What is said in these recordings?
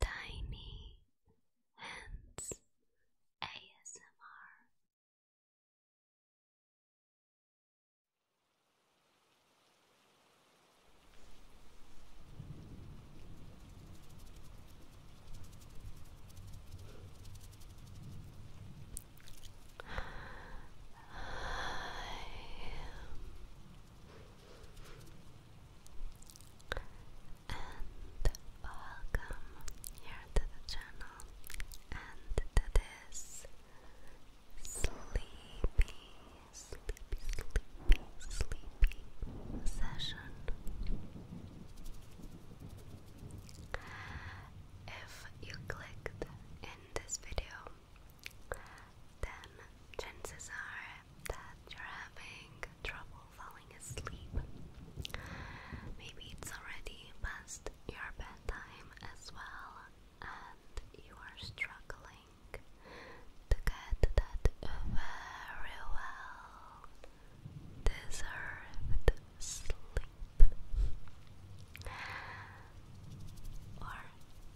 Tiny Hands ASMR and welcome here to the channel and to this sleepy, sleepy, sleepy, sleepy session. If you clicked in this video, then chances are that you're having trouble falling asleep. Maybe it's already past your bedtime as well, and you are struggling to get that very well deserved sleep. Or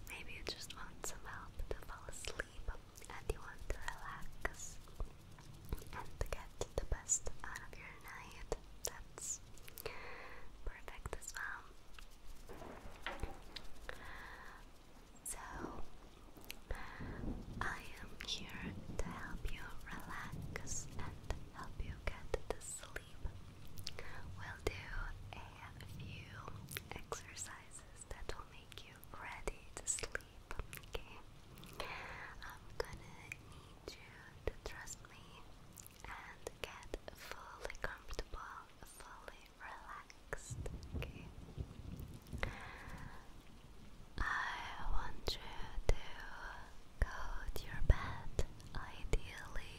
maybe you just want some help to fall asleep, and you want to relax and get the best out of your night, that's perfect as well. So, I am here to help you relax and help you get to sleep. We'll do a few exercises that will make you ready to sleep okay? I'm gonna need you to trust me and get fully comfortable, fully relaxed, okay? I want you to go to your bed, ideally,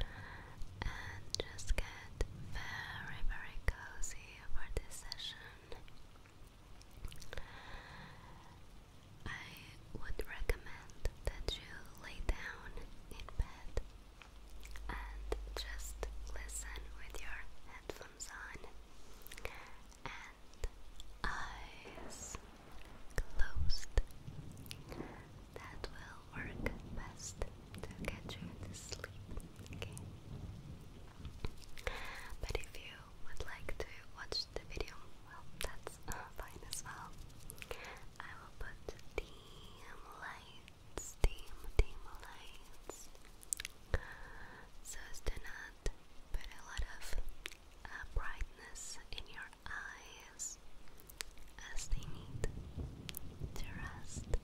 and just get very, very cozy for this session. I would recommend that you lay down in bed and just listen with your headphones on and eyes closed. That will work best to get you to sleep. Okay. But if you would like to watch the video, well, that's uh, fine as well. I will put team lights, team, team lights, so as to not put a lot of uh, brightness in your eyes as they need to rest.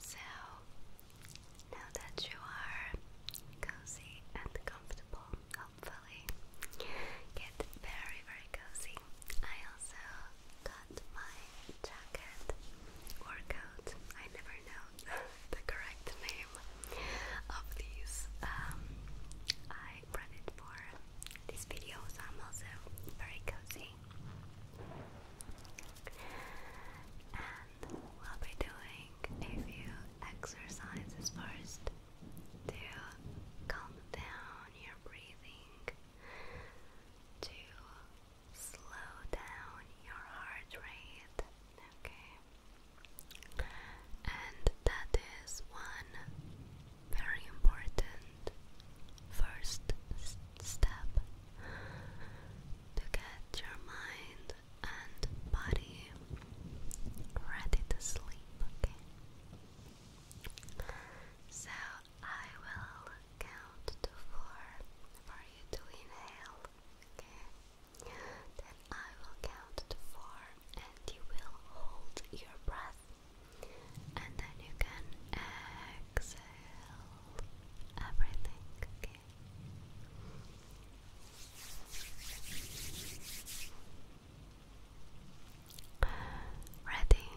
So now that you are cozy and comfortable, hopefully get very very cozy. I also got my jacket or coat. I never know the correct name of these. Um, I for these videos. I'm also very cozy. And we'll be doing a few exercises first to calm down your breathing, to slow down your heart rate, okay? And that is one very important first step to get your mind and body ready to sleep, okay? So I will count to four for you to inhale, okay? Then I will count to four and you will hold your breath and then you can exhale everything. Ready?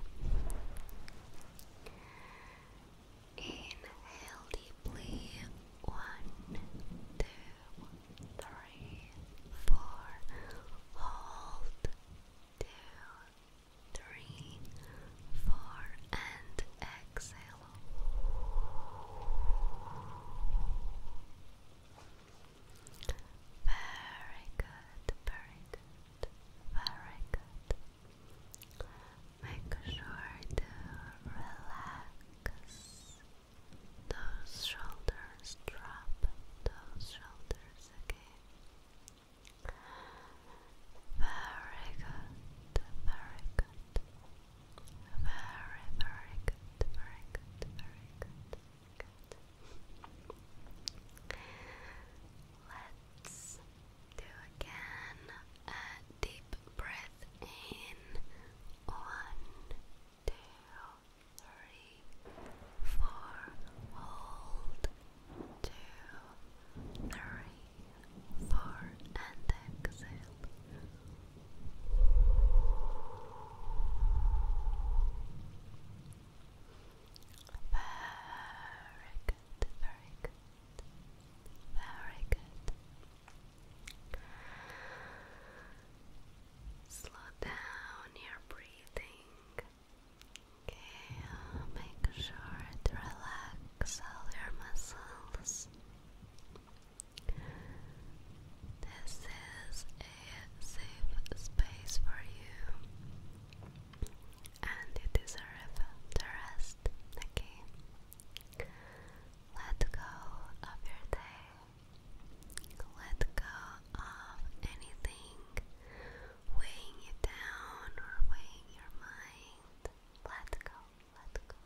Inhale deeply. One, two, three, four. Hold. Two, three, four, and exhale. Very good, very good, very good. Make sure to relax those shoulders, drop those shoulders again. Very good, very good. Very, very good, very good, very good. Let's do again a deep breath in. One, two, three four, hold, two, three, four, exhale. Very good, very good, very good. Slow down your breathing. Okay, make sure to relax all your muscles. This is a safe space for you, and you deserve the rest. Okay, let go of your day. Let go of anything weighing you down or weighing your mind. Let go, let go,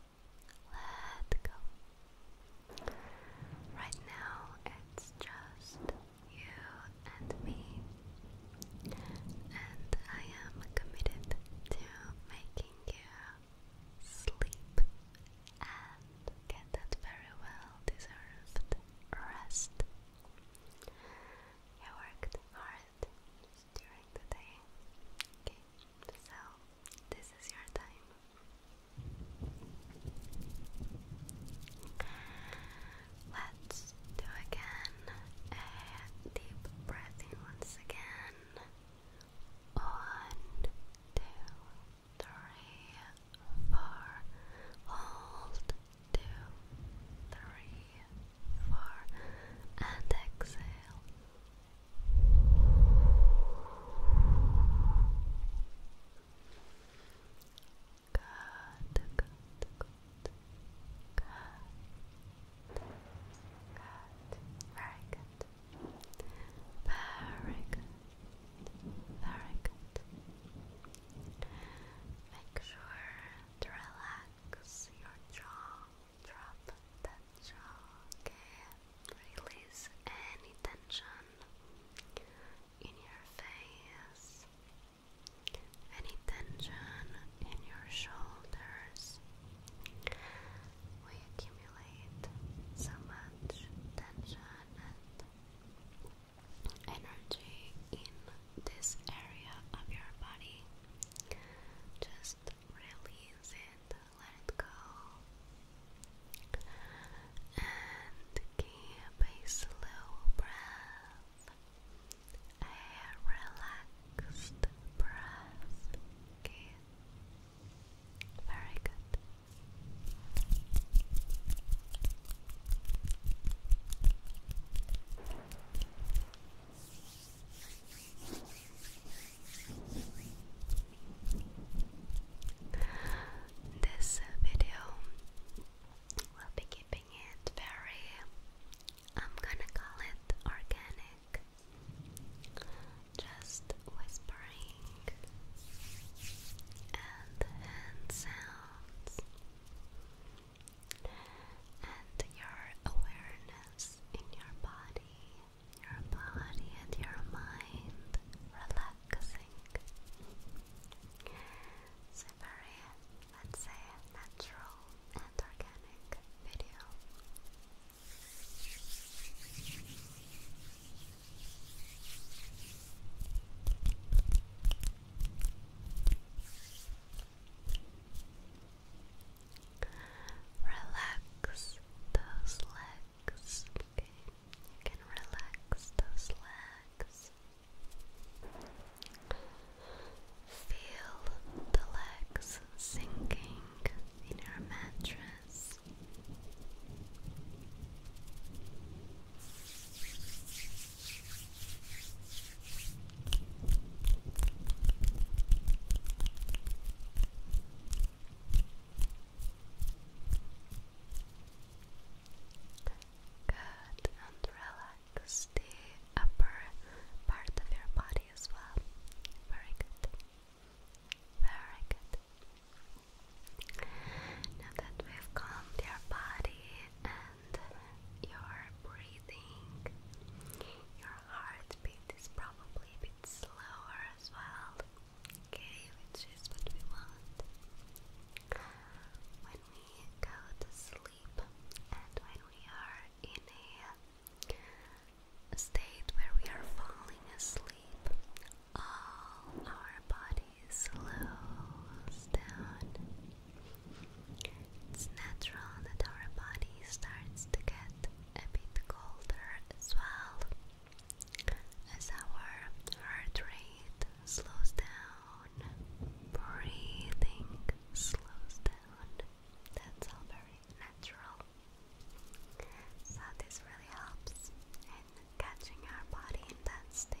let go. Right now, it's just you and me, and I am committed to making you sleep and get that very well deserved rest. You worked hard during the day. Okay, so this is your time. Let's do again a deep breath once again. One, two, three, four. Hold two, three, four, and exhale. Good, good, good, good, good, very good, very good, very good. Make sure to relax your jaw, drop that jaw, okay? Release any tension in your face, any tension in your shoulders. We accumulate so much tension energy in this area of your body. Just release it, let go, and keep a slow breath, a relaxed breath. very good. This video will be keeping it very, I'm gonna call it organic, just whispering and hand sounds and your awareness in your body, your body and your mind relaxing. It's a very, let's say, natural and organic video. Relax those legs. you can relax those legs. Feel the legs sinking in your mattress. Good, and relax the upper part of your body as well. Very good. Very good. Now that we've calmed your body and your breathing. Your heartbeat is probably a bit slower as well, okay, which is what we want. When we go to sleep and when we are in a state where we are falling asleep, all our body slows down. It's natural that our body starts to get a bit colder as well as our heart rate slows down, breathing slows down. That's all very natural. So, this really helps in catching our body in that state.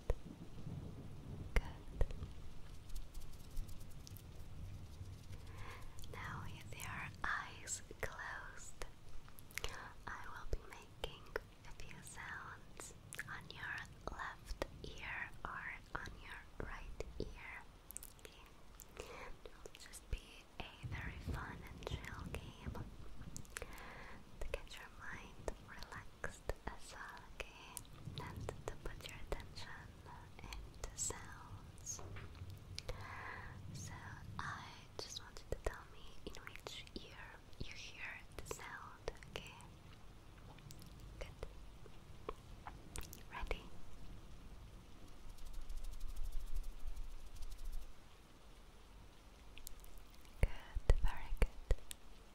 Good. Now, with your eyes closed, I will be making a few sounds on your left ear or on your right ear. It'll just be a very fun and chill game to get your mind relaxed just okay? And to put your attention into sounds. So I just want you to tell me in which ear you hear the sound, okay? Good. Ready? Good, very good.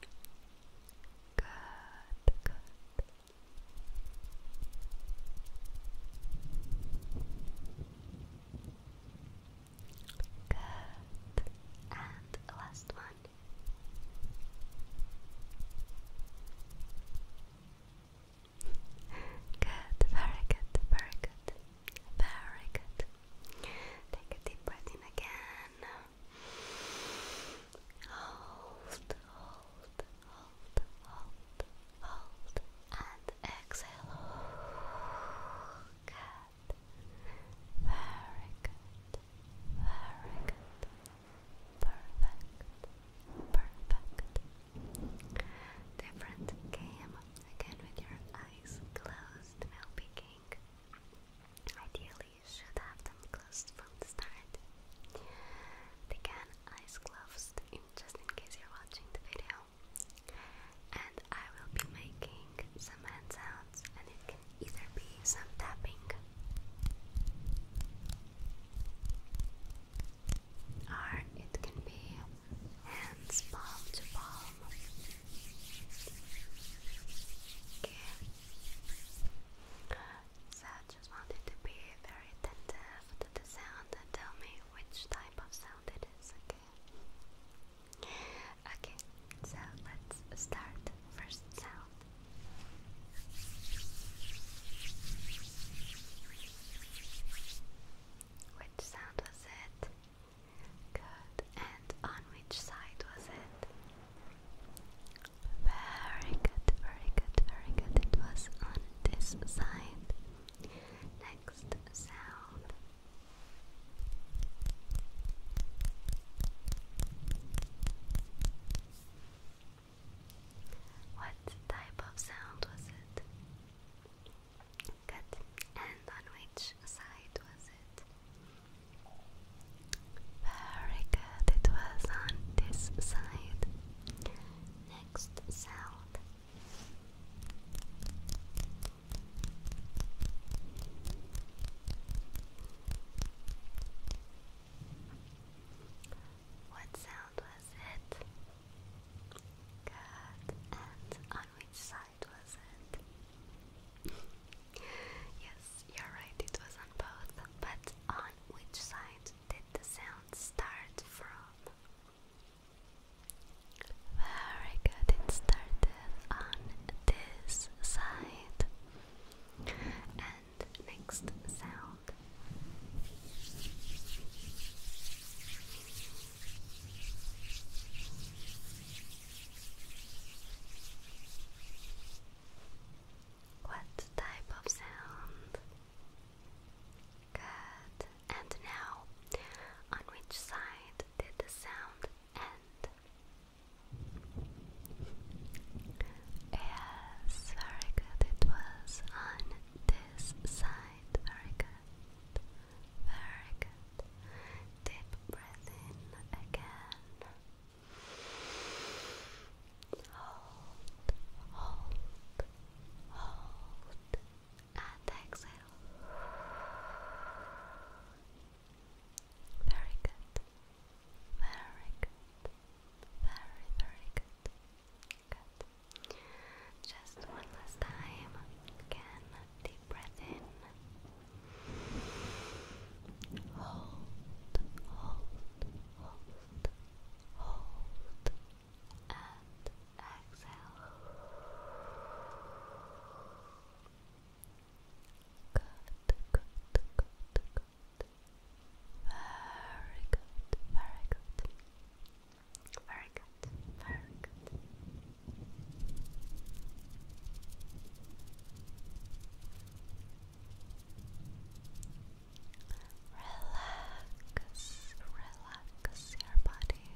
Good, good. Good. And last one. Good, very good, very good, very good. Take a deep breath in again. Hold, hold, hold, hold, hold, and exhale. Good. Very good. Very good. Perfect. Perfect. Different game. Again with your eyes closed. Now Ideally you should have them closed from the start. They eyes closed just in case you're watching the video. And I will be making some hand sounds and it can either be some tapping or it can be hands palm to palm. Okay. So I just wanted to be very attentive to the sound and tell me which type of sound it is, okay? Okay, so let's start first sound. Which sound was it? Good. And on which side was it? Very good, very good, very good. It was on this side. Next sound. What type of sound was it? Good. And on which side was it? Very good, it was on this side. Next sound. What sound was it? Good. And on which side was it? yes, you're right, it was on both. But on which side did the sound start from? Very good, it started on this side. And next sound. What type of sound? Good. And now, on which side did the sound end? Yes, very good. It was on this side. Very good. Very good. Deep breath in again. Hold, hold, hold, and exhale. Very good. Very good. Very, very good. Good. Just one last time. Again, deep breath in hold, hold, hold, hold, and exhale. Good, good, good, good. Very good, very good. Very good, very good. Relax, relax your body.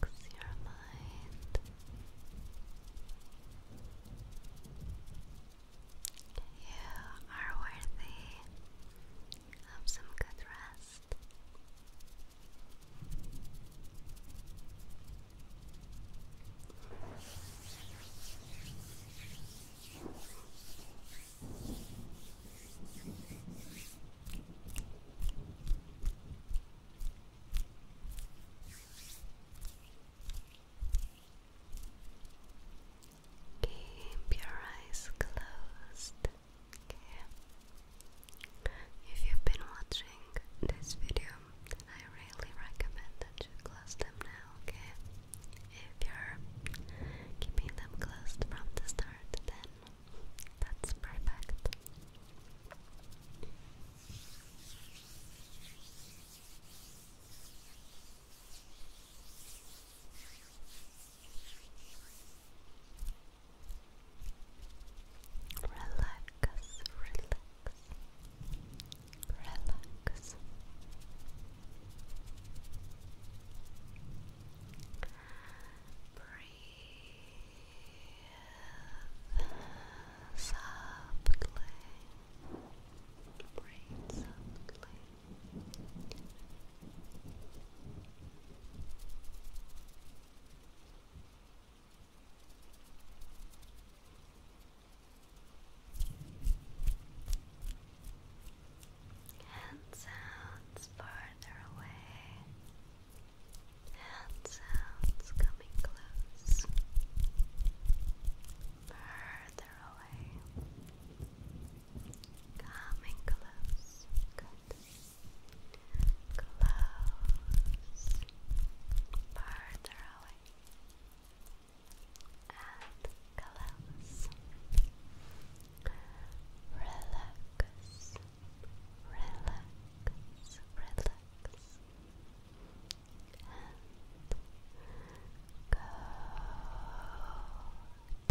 Relax your mind. You are worthy of some good rest. Keep your eyes closed. Okay. If you've been watching this video I really recommend that you close them now, okay? If you're keeping them closed from the start, then that's perfect. Relax, relax, relax. Breathe softly. Breathe softly. Hand sounds farther away. Hand sounds coming close. Further away. Coming close. Close. Farther away and Relax, relax, relax, and go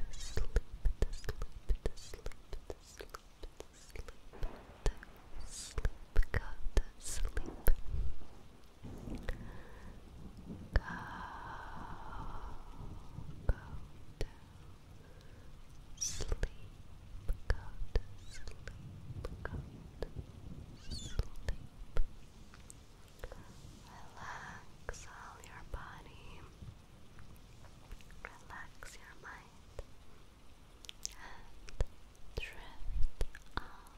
to sleep, sleep, sleep, sleep, sleep, sleep, go to sleep. Go, to sleep, go to sleep, go to sleep. Relax all your body, relax your mind, and drift off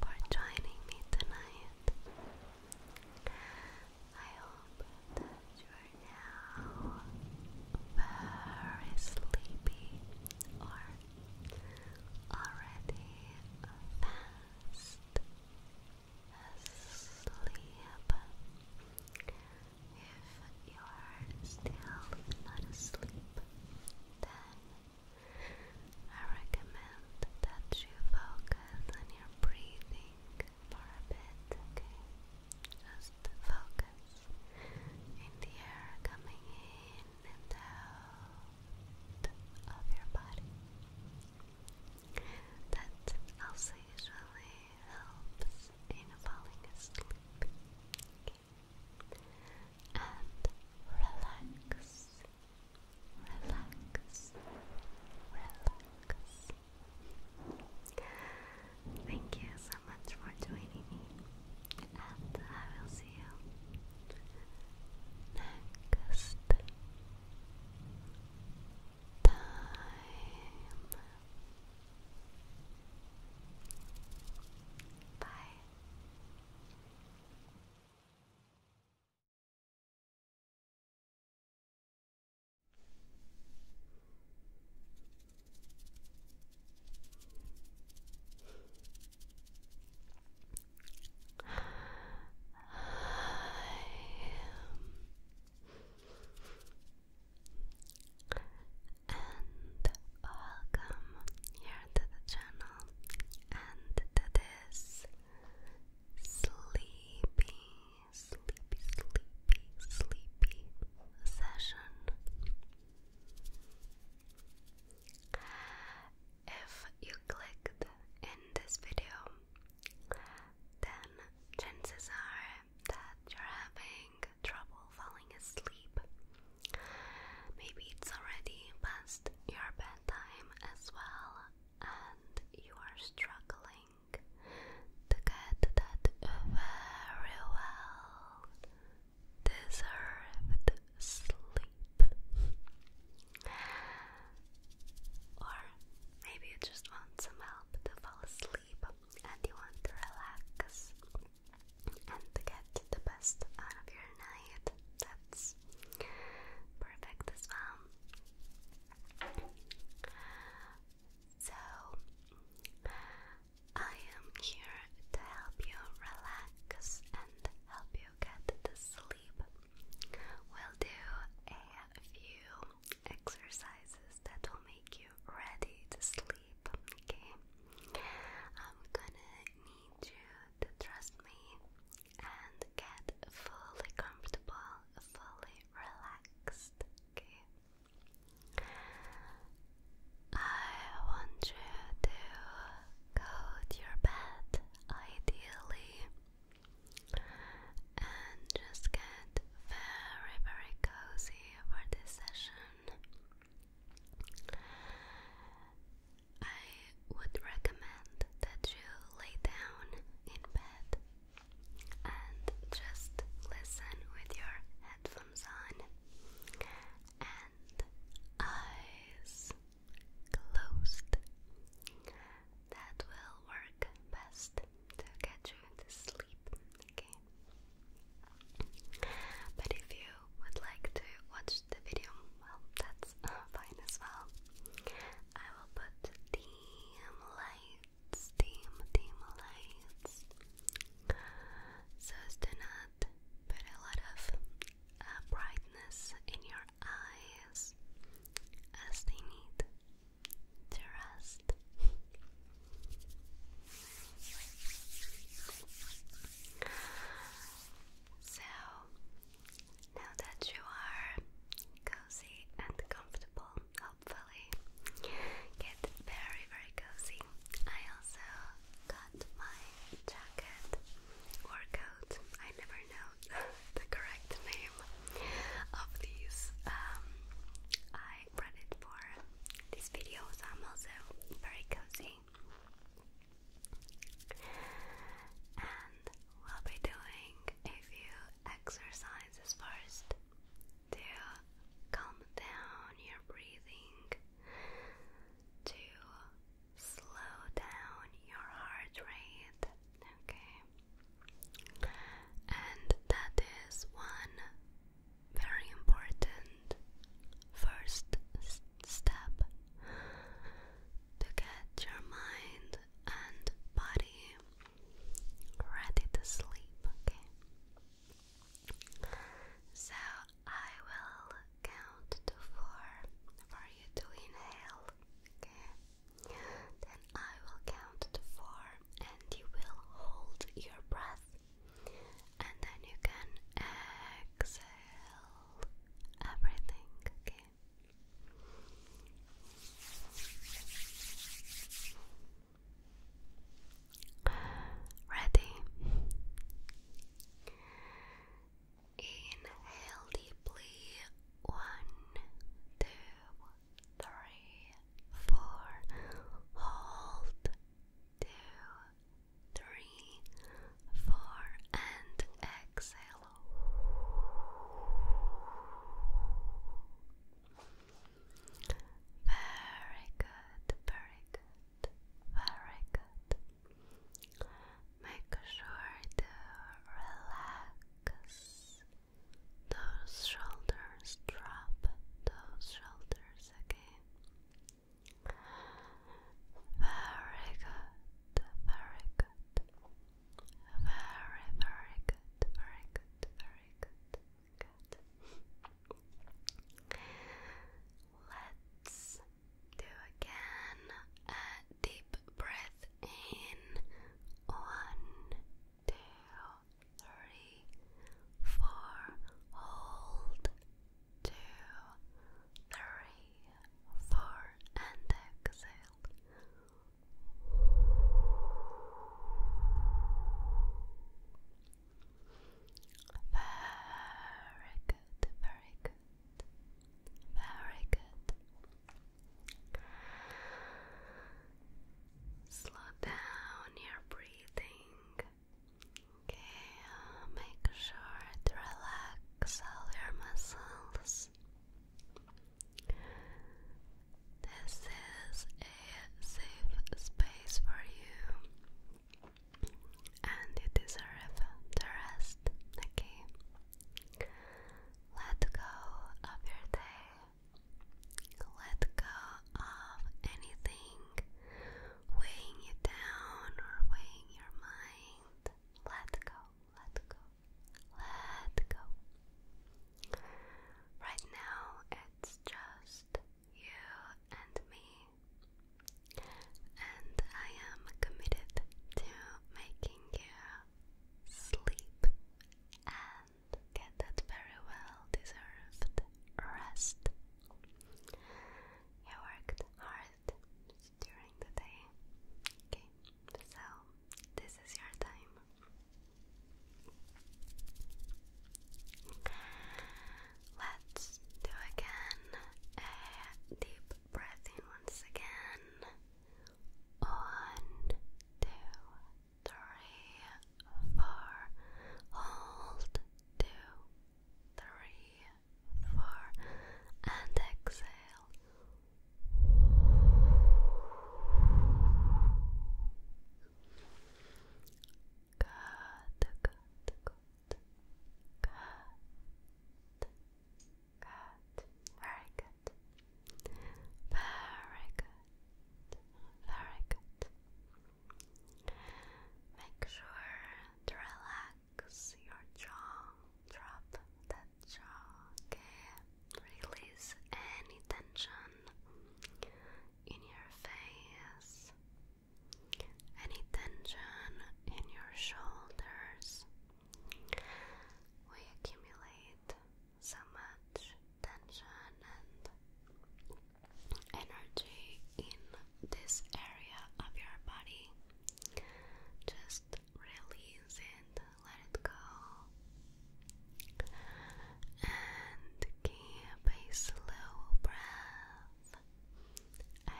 for joining me tonight. I hope that you are now very sleepy or already fast asleep. If you are still not asleep, then I recommend that you focus on your breathing for a bit, okay? Just focus in the air coming in and out of your body. That also usually helps in falling asleep. Okay and relax, relax, relax. Thank you so much for joining me, and I will see you next time. Bye. And welcome here to the channel and that is sleepy, sleepy, sleepy, sleepy session. If you clicked in this video, then chances are that you're having trouble falling asleep Maybe it's already past your bedtime as well, and you are struggling to get that very well deserved sleep. Or maybe you just want some help to fall asleep and you want to relax and to get the best out of your night. That's perfect as well. Um, so, I am here to help you relax and help you get to sleep. We'll do a few exercises that will make you ready to sleep, okay? I'm gonna need you to trust me and get fully comfortable, fully relaxed. I want you to go your bed, ideally, and just get very, very cozy for this session. I would recommend that you lay down in bed and just listen with your headphones on and eyes closed. That will work best to get you to sleep, okay? But if you would like to watch the video well, that's uh, fine as well. I will put theme lights, theme, theme lights, so as to not put a lot of uh, brightness in your eyes as they need to rest. So, now that you are cozy and comfortable, hopefully, get very, very cozy. I also got my jacket or coat, I never know the correct name of these. Um, I read it for this video, so I'm also very cozy. And we'll be doing a few exercises first to calm down your breathing, to slow down your heart rate, okay? And that is one very important first step to get your mind and body ready to sleep, okay? So I will count to four for you to inhale, okay? Then I will count to four and you will hold your breath. And then you can exhale everything, okay? Ready? Inhale deeply. One, two, three, four. Hold. Two, three, four, and exhale. Very good, very good, very good. Make sure to relax those shoulders, drop those shoulders again. Very good, very good. Very, very good, very good, very good. Good. Let's do again a deep breath in. One, two, three, four. Hold. Two, three, for and exhale. Very good, very good, very good. Slow down your breathing. Okay, make sure to relax all your muscles. This is a safe space for you, and you deserve rest, okay? Let go of your day, let go of anything weighing you down or weighing your mind. Let go let go, let go. Right now, it's just you and me, and I am committed to making you sleep and get that very well deserved rest. You worked hard during the day. Okay, so this is your time. Let's do again a deep breath once again. One, two, three, four. Hold two, three, four, and exhale good, good, very good, very good. Make sure to relax your jaw drop that jaw, okay? Release any tension in your face, any tension in your shoulders. We accumulate so much tension and energy in this area of your body. Just release it, let it go, and keep a slow breath, a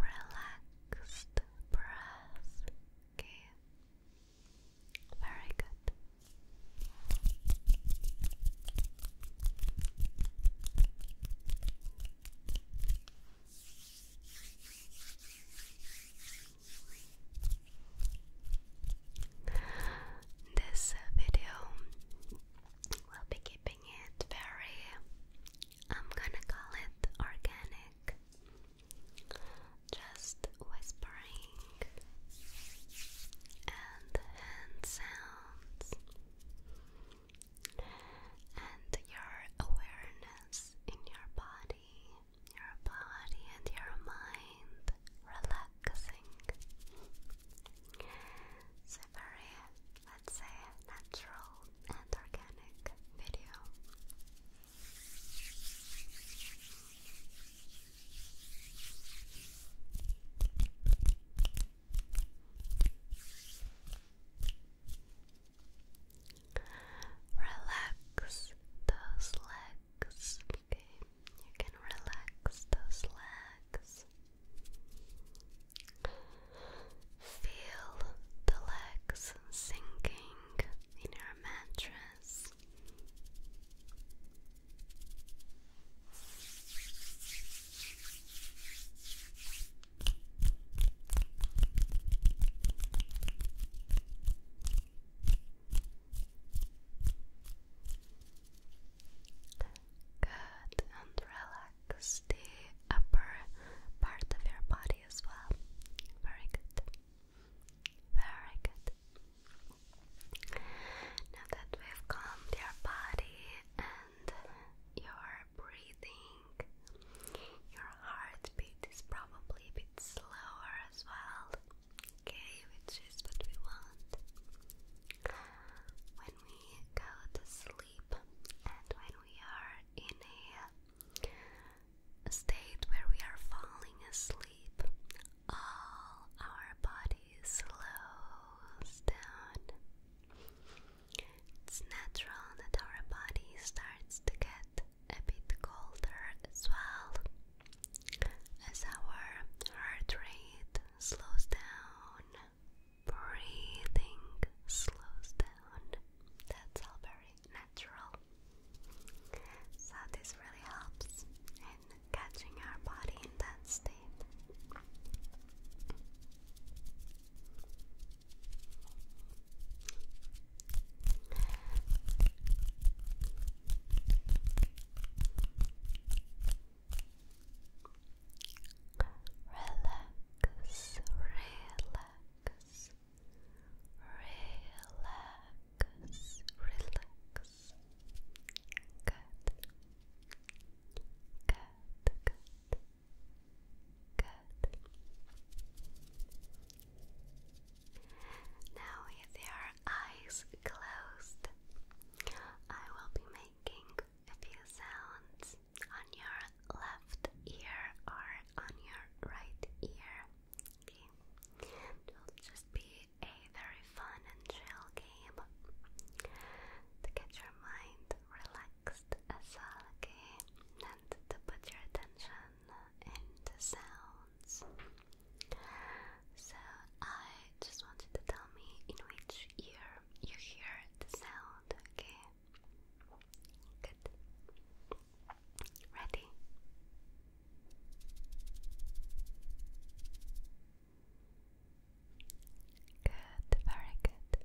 relaxed breath. Okay, very good. This video will be keeping it very, I'm gonna call it organic, just whispering and hand sounds and your awareness in your body your body and your mind relaxing. It's a very, let's say, natural and organic video. Relax those legs, okay? You can relax those legs. Feel the legs sinking in your mattress. Good, and relax the upper part of your body as well. Very good. Very good. Now that we've calmed your body and your breathing, your heartbeat is probably little slower as well, okay, which is what we want when we go to sleep and when we are in a, a state where we are falling asleep, all our body slows down. It's natural that our body starts to get get a bit colder as well as our heart rate slows down, breathing slows down. That's all very natural. So, this really helps in catching our body in that state. Relax, relax, relax, relax. Good. Good, good, good. Now, with your eyes closed, I will be making a few sounds on your left ear or on your right ear. It will just be a very fun and chill game to get your mind relaxed as well, okay? And to put your attention and sounds. So I just wanted to tell me in which ear you hear the sound, okay? Good. Ready? Good, very Good.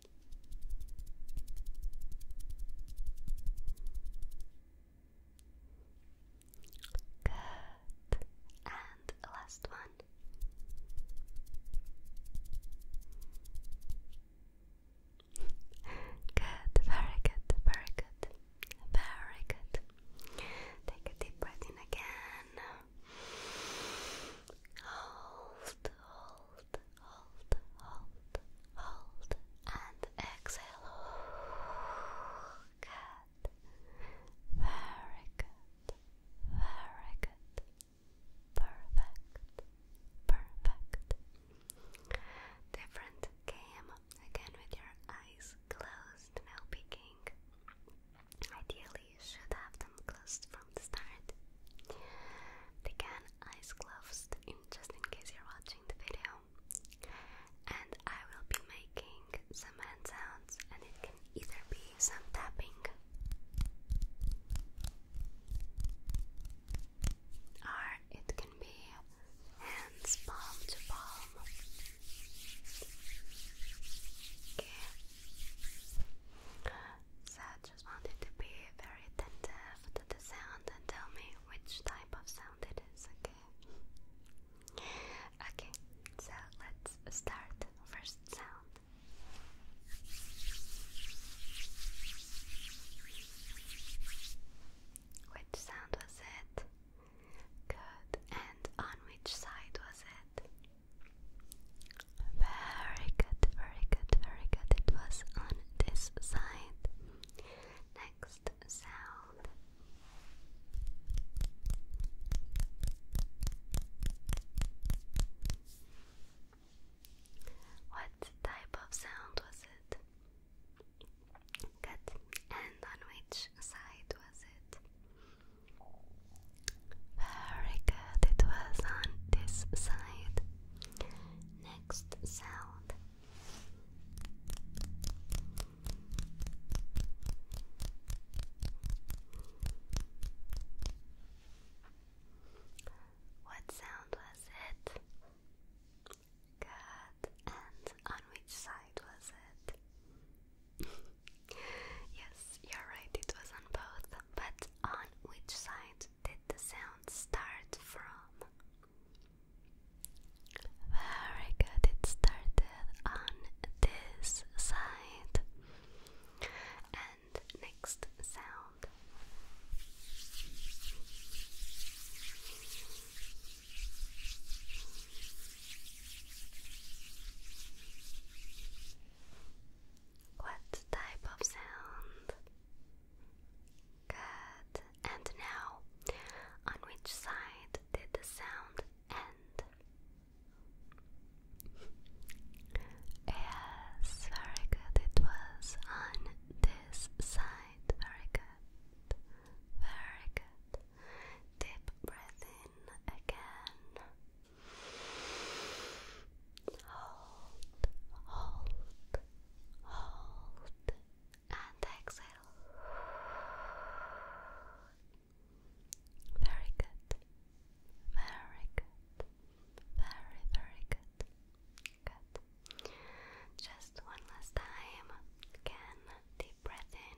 Good. And last one. Good, very good, very good, very good. Take a deep breath in again. Hold hold, hold, hold, hold, and exhale. Good. Very good. Very good. Perfect. Perfect. Different game again with your eyes closed. Now picking. Ideally, should have them closed from the start. They eyes closed just in case you're watching the video. And I will be making some hand sounds, and it can either be some tapping or it can be hands palm to palm. Okay. So I just wanted to be very attentive to the sound and tell me which type of sound it is, okay? Okay, so let's start first sound. Which sound was it? Good. And on which side was it? Very good, very good, very good. It was on this side. Next sound. What type of sound was it? Good. And on which side was it? Very good. It was on this side. Next sound. What sound was it? Good. And on which side was it? yes, you're right, it was on both. But on which side did the sound start from? Very good, it started on this side. And next sound. What type of sound Good. And now, on which side did the sound end? Yes, very good. It was on this side. Very good. Very good. Deep breath in again. Hold, hold, hold, and exhale. Very good. Very good. Very, very good. Good. Just one last time. Again, deep breath in.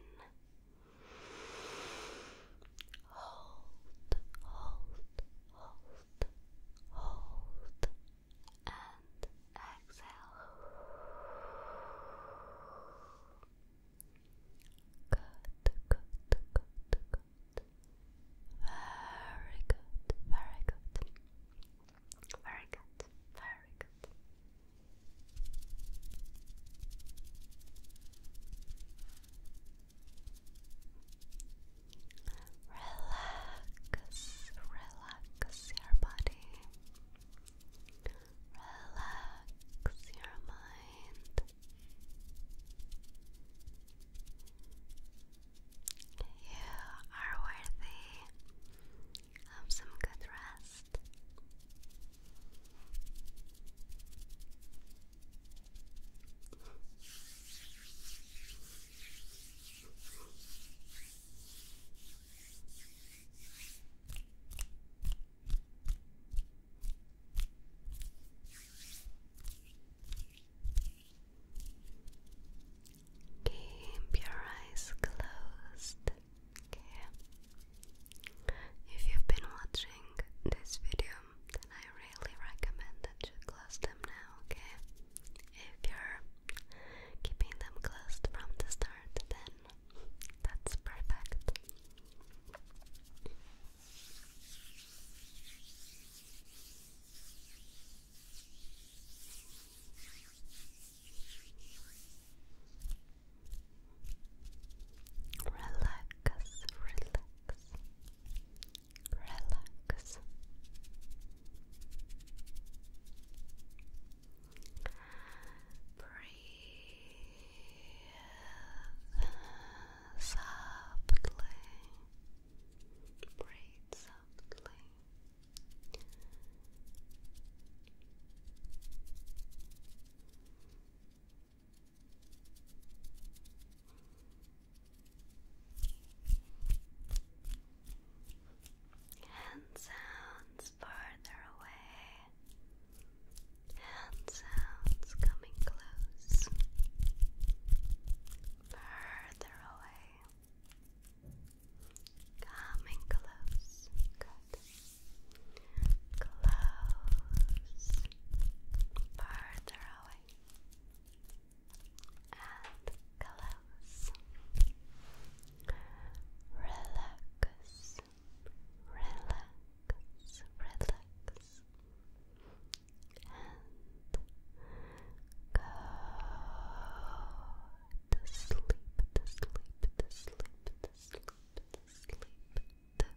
Hold, hold, hold, hold, and exhale. Good, good, good, good. Very good, very good. Very good, very good. Relax, relax your body. Relax your mind. You are worthy of some good rest. Keep your eyes closed. Okay. If you've been watching this video, then I really recommend that you close them now, okay? if you're keeping them closed from the start, then that's perfect. Relax, relax, relax. Breathe softly. Breathe softly hand sounds farther away, hand sounds coming close, further away, coming close, close, farther away and close. Relax, relax, relax, and go to sleep, to sleep, to sleep, to sleep, to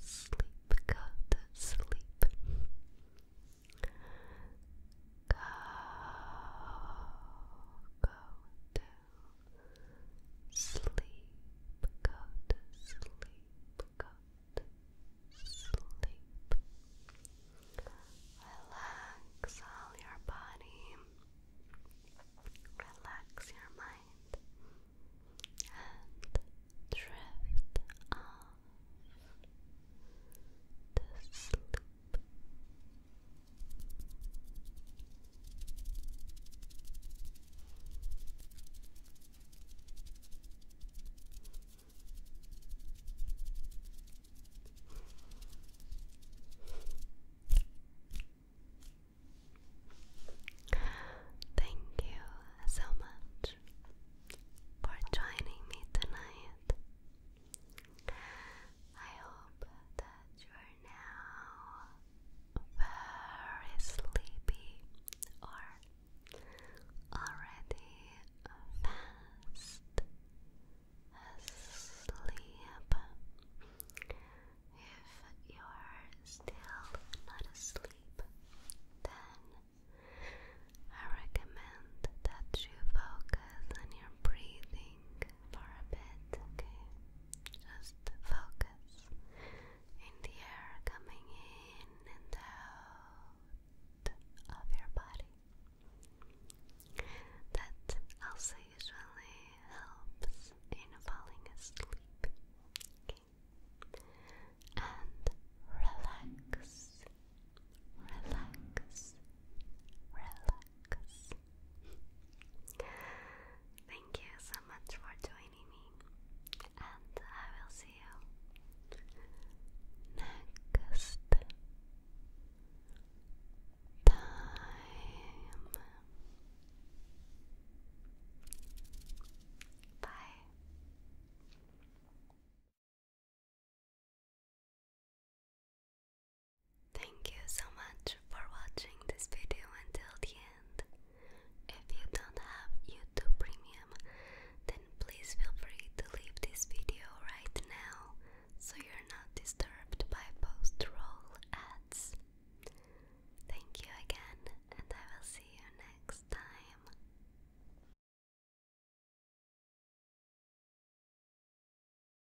sleep, go to sleep. Go, go to sleep, go to sleep, go to sleep. Relax all your body, relax your mind, and drift off to sleep. Thank you so much for joining me tonight. I hope that you are now very sleepy or already fast asleep. If you are still not asleep, then I recommend that you focus on your breathing for a bit, okay? Just focus in the air coming in and out of your body. That also usually helps in falling asleep. And relax, relax, relax. Thank you so much for joining me, and I will see you next time. Bye. Thank you so much for watching this video until the end. If you don't have YouTube Premium, then please feel free to leave this video right now so you're not disturbed by post-roll ads. Thank you again, and I will see you next time.